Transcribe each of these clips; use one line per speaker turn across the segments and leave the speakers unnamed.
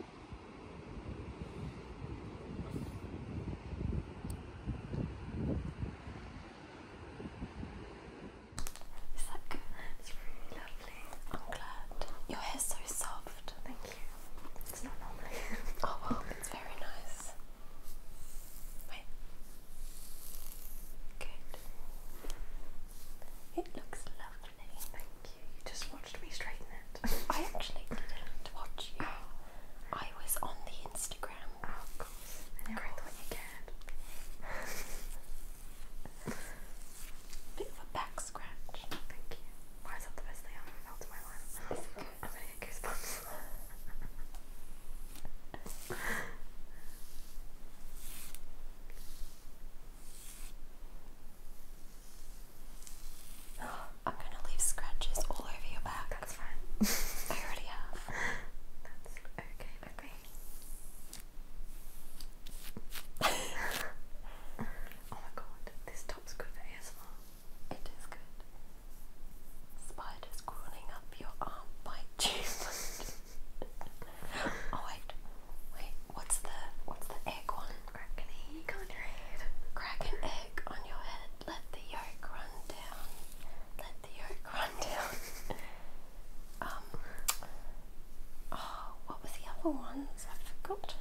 Is that good? It's really lovely. i Your hair's so soft. Thank you. It's not normally. oh well, it's very nice. Good. It looks lovely thank you. You just watched me straighten it. I actually didn't watch you. I was on the Instagram. Oh, of course. I never God. Bit of a back scratch. Thank you. Why is that the best thing I've ever felt in my life? I'm going goosebumps. I'm gonna leave scratches all over your back. That's fine. I already have. That's okay with oh my god, this top's good for ASMR. It is good. Spiders crawling up your arm oh, wait, wait. What's the what's the egg one? Crack an egg on your head. Crack an egg on your head. Let the yolk run down. Let the yolk run down. um. Oh, what was the other ones? I've forgotten.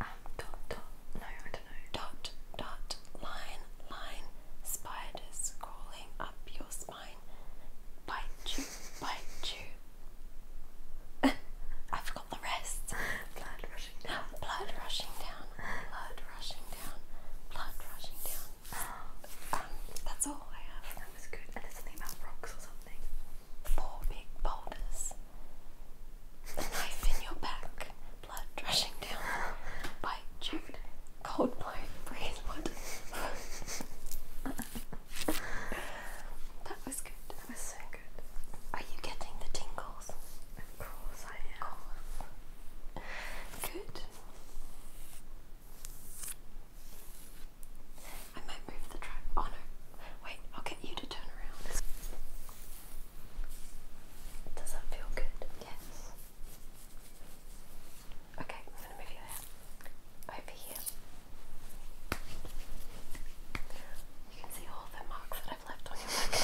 Um, dot dot. No, I don't know. Dot dot line line. Spiders crawling up your spine. Bite you. Bite you. I forgot the rest. Blood rushing down. Blood rushing down. Blood rushing down. Blood rushing down. Um, that's all I have. That was good. And there's something about rocks or something. Four big boulders. A knife in your back. Blood rushing down. By Jude. Coldplay. Breeze wood. That was good. That was so good. Are you getting the tingles? Of course I am. Good. I might move the trap. Oh no. Wait, I'll get you to turn around. Does that feel good? Yes. Okay, i Over here. You can see all the marks that I've left on your back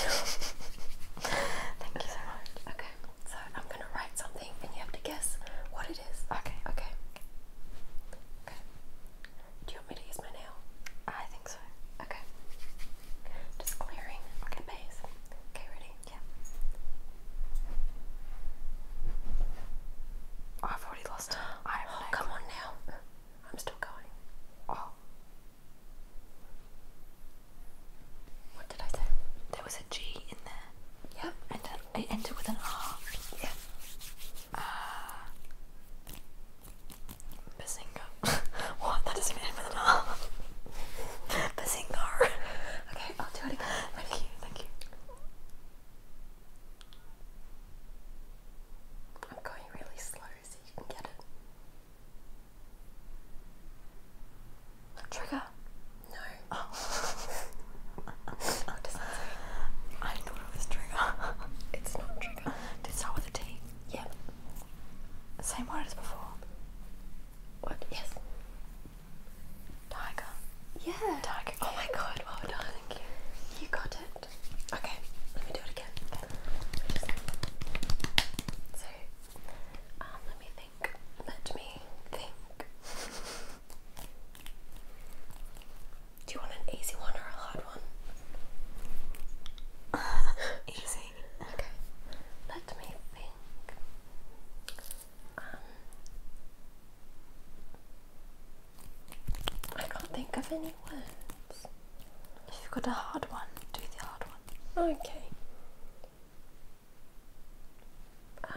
Thank you so much. Okay, so I'm gonna write something and you have to guess what it is. Okay, okay. Okay. Do you want me to use my nail? I think so. Okay. Just clearing. Okay, base. Okay, ready? Yeah. I've already lost. I oh, come on now. I'm still going. Oh. What did I say? There was a G in there. Yep. And uh, I ended with an R. Yeah. Ah. Bazinga. what? That doesn't end with an R. Bazingar. okay, I'll do it again. Thank you, thank you. I'm going really slow so you can get it. Trigger? No. Oh. I thought it was trigger. It's not trigger. Did it start with a T? Yeah. Same word as before. What? Yes. Tiger. Yeah. Tiger. Oh my god, well done. Thank you. You got it. Okay, let me do it again. Okay. So, um, let me think. Let me think. Do you want an easy one or a hard one? Easy. Okay. Let me think. Um, I can't think of any words. If you've got a hard one, do the hard one. Okay. Um.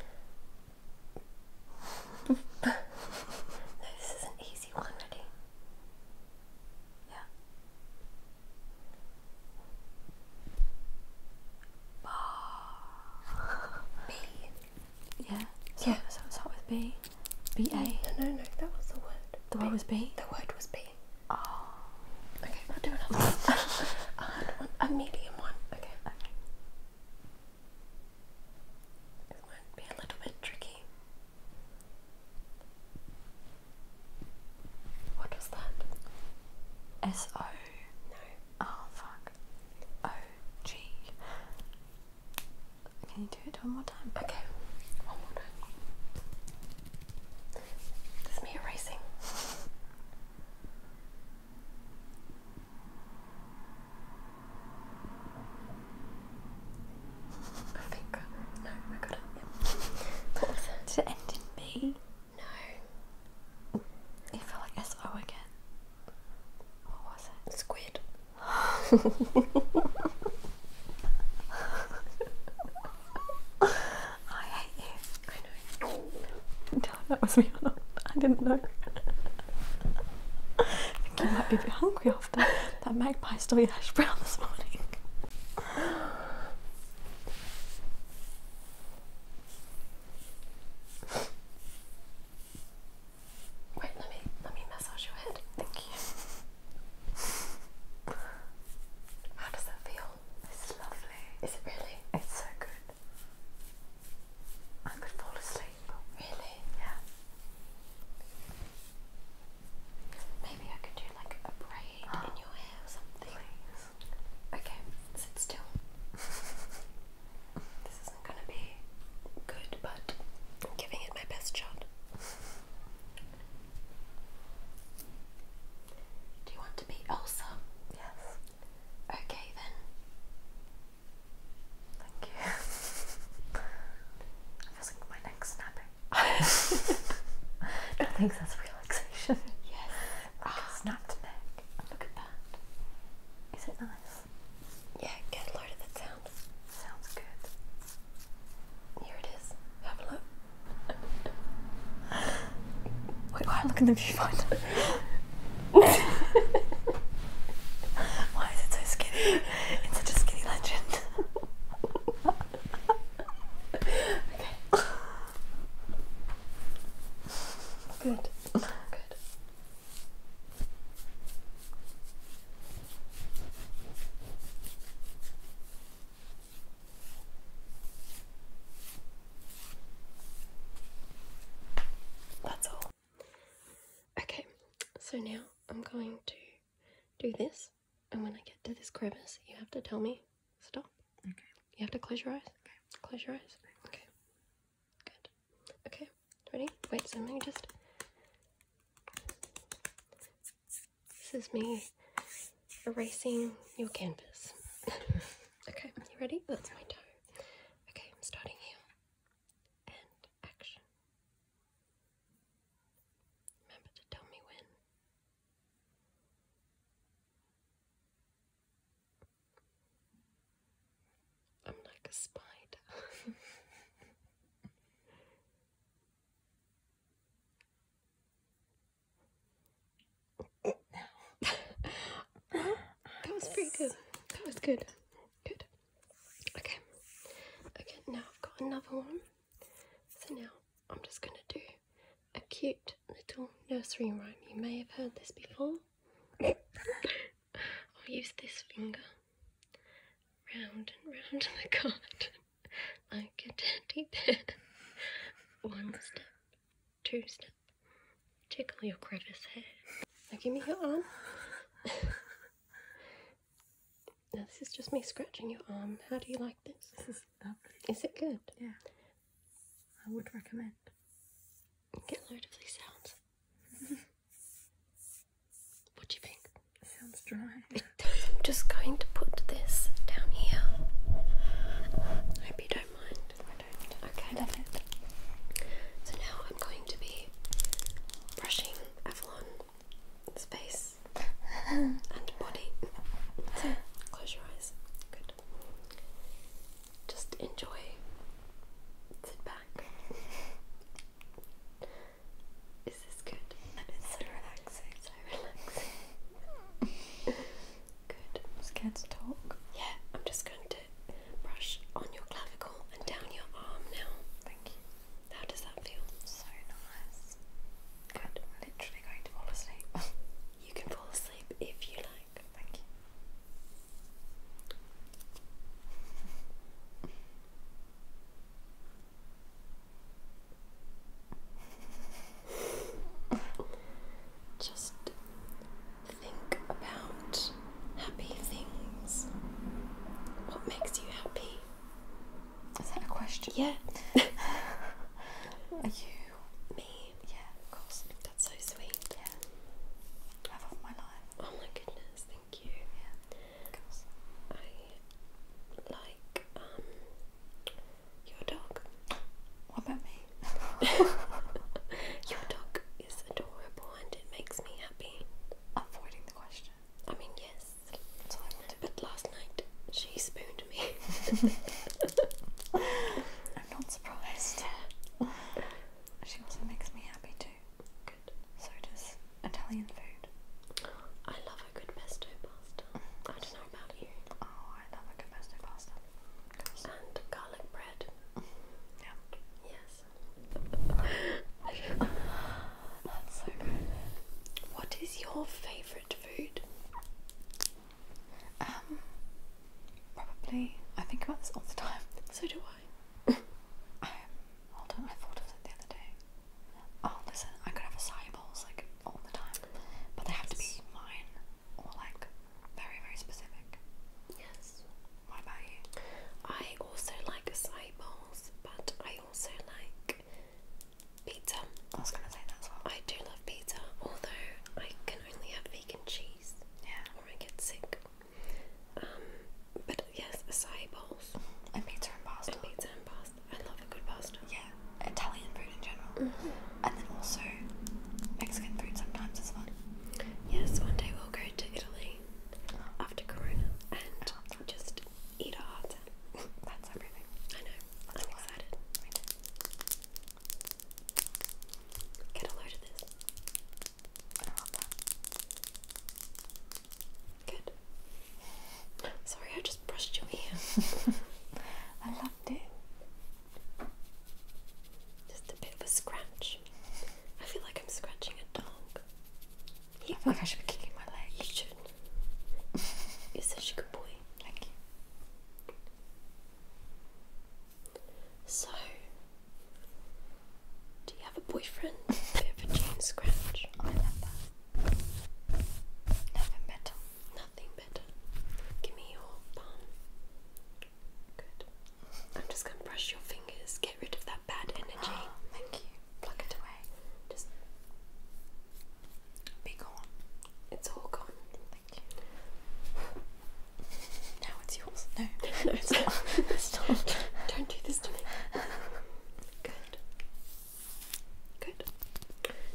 no, this is an easy one, ready? Yeah. B. Yeah. So yeah. It starts with B. B A. No, no, no. That was the word. The word was B. The word was B. Ah. Okay. I'll do another one. A medium one. Okay. It might be a little bit tricky. What was that? S O no. Oh fuck. O G. Can you do it one more time? Okay. One more time. This is me erasing. I think. No, I got What was end in B? No. It felt like SO again. What was it? Squid. I hate you. I know. Tell if that was me or not. I didn't know. I think you might be a bit hungry after that magpie stole your hash brown this morning. Wait, let me let me massage your head. Thank you. How does that feel? It's lovely. Is it really? It's so good. I could fall asleep. Really? Yeah. Maybe I could do like a braid in your hair or something. Please. Okay, sit still. this isn't gonna be good, but I'm giving it my best shot. Do you want to be Elsa? Yes. Okay then. Thank you. I feel like my neck's snapping. I don't think that's relaxation. Yes. Ah, oh, snapped neck. Look at that. Is it nice? Yeah, get a load of that sound. Sounds good. Here it is. Have a look. Wait, why look in the viewfinder? why is it so skinny? It's such a skinny legend. okay. Good. Good. That's all. Okay, so now I'm going to do this and when I get to this crevice, you have to tell me stop. Okay. You have to close your eyes. Okay. Close your eyes. Okay. Good. Okay. Ready? Wait. So let me just. This is me erasing your canvas. okay. You ready? That's my toe. Okay. I'm starting here. And action. Remember to tell me when. I'm like a spider. that was pretty good. That was good. Good. Okay. Okay, now got another one. So now I'm just going to do a cute little nursery rhyme. You may have heard this before. I'll use this finger round and round the garden like a teddy bear. One step, two step, tickle your crevice hair. Now give me your arm. Now this is just me scratching your arm. How do you like this? is it good? Yeah. I would recommend. Get a load of these sounds. what do you think? sounds dry. I'm just going to put this down here. I hope you don't mind. I don't. Okay. love it. So now I'm going to be brushing Avalon's face and body. close your eyes. Good. Just enjoy. Sit back. Is this good? And it's so relaxing. So relaxing. good. scared to talk. Yeah, I'm just going to brush on your clavicle and down your arm now. Thank you. How does that feel? So nice. Good. literally going to fall asleep. you can fall asleep if you like. Thank you. Just think about happy things. What makes you happy? Is that a question? Yeah. Are you? Me? Yeah, of course. That's so sweet. Yeah. Love of my life. Oh my goodness, thank you. Yeah, of course. I like um your dog. What about me? your dog is adorable and it makes me happy. Avoiding the question. I mean, yes. That's all I wanted. But last night she spooned me. I'm not surprised. She also makes me happy too. Good. So does Italian food. I love a good pesto pasta. I don't know about you. Oh, I love a good pesto pasta. And garlic bread. Yeah. Yes. What is your favorite food? Um, probably. I think about this all the time. So do I. Um, hold on. I thought of it the other day. Oh, listen. I could have acai like all the time, but they have to be mine or like very, very specific. Yes. What about you? I also like acai bowls, but I also like pizza. I was gonna say that as I do love pizza, although I can only have vegan cheese. Yeah. Or I get sick. Um, but yes, acai bowls. And pizza and pasta. pizza and pasta. I love a good pasta. Yeah. Italian food in general. Mm-hmm. And then also Mexican food sometimes is fun. Yes, one day we'll go to Italy after Corona and just eat our hearts out. That's everything. I know. I'm excited. Get a load of this. I love that. Good. Sorry, I just brushed your ear. I loved it. Just a bit of a scratch. I feel like I'm scratching a dog. I feel like I should be kicking my leg. You shouldn't. You're such a good boy. Thank you. So, do you have a boyfriend? Bit of a jean scratch. I love that. Nothing better. Nothing better. Give me your bun. Good. I'm just gonna brush your fingers, get rid of that bad energy. thank you. Pluck it away. Just be gone. It's all gone. Thank you. Now it's yours. No, no, it's Don't do this to me. Good. Good.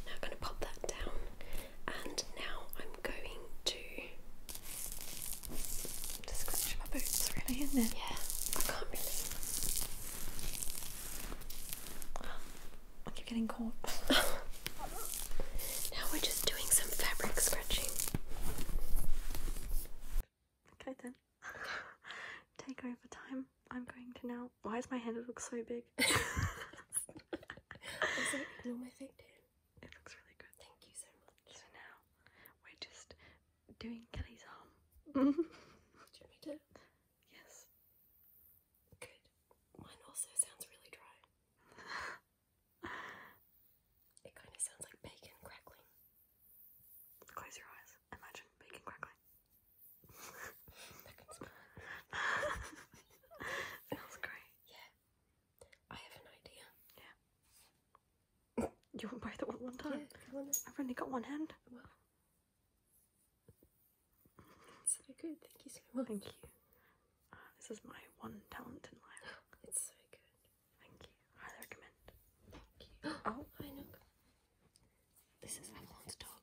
Now gonna pop that down, and now I'm going to to just scratching my boots really and then yeah I can't really I keep getting caught now we're just doing some fabric scratching okay then take over time I'm going to now why does my hand look so big is it normal thing too it looks really good. Thank you so much. So now we're just doing Kelly's arm. Do you want me Yes. Good. Mine also sounds really dry. it kind of sounds like bacon crackling. Close your eyes. Imagine bacon crackling. that great. Yeah. I have an idea. Yeah. you won't buy the one one time? Yeah, I've only got one hand. Oh, well. It's so good. Thank you so much. Thank you. Uh, this is my one talent in life. it's so good. Thank you. I recommend. Thank you. oh, I know. This is Avalon's dog.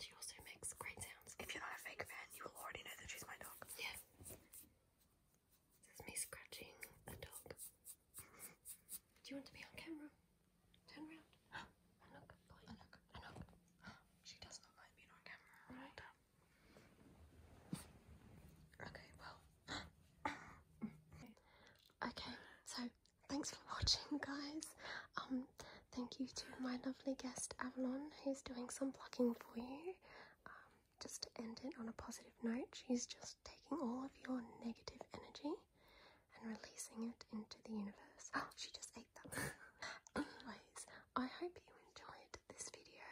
She also makes great sounds. If you're not a fake fan, you will already know that she's my dog. Yeah. This is me scratching a dog. Do you want to be on camera? Turn around. Anok, Anok, Anok. She does not like being on camera. Okay, well. okay, so thanks for watching, guys. Um, thank you to my lovely guest Avalon, who's doing some plugging for you. Um, just to end it on a positive note, she's just taking all of your negative energy and releasing it into the universe. Oh, she just ate them. Anyways, I hope you enjoyed this video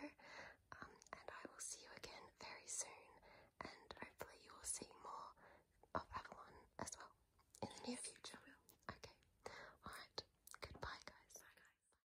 um, and I will see you again very soon and hopefully you will see more of Avalon as well in the near future. Okay. Alright. Goodbye guys. Bye guys.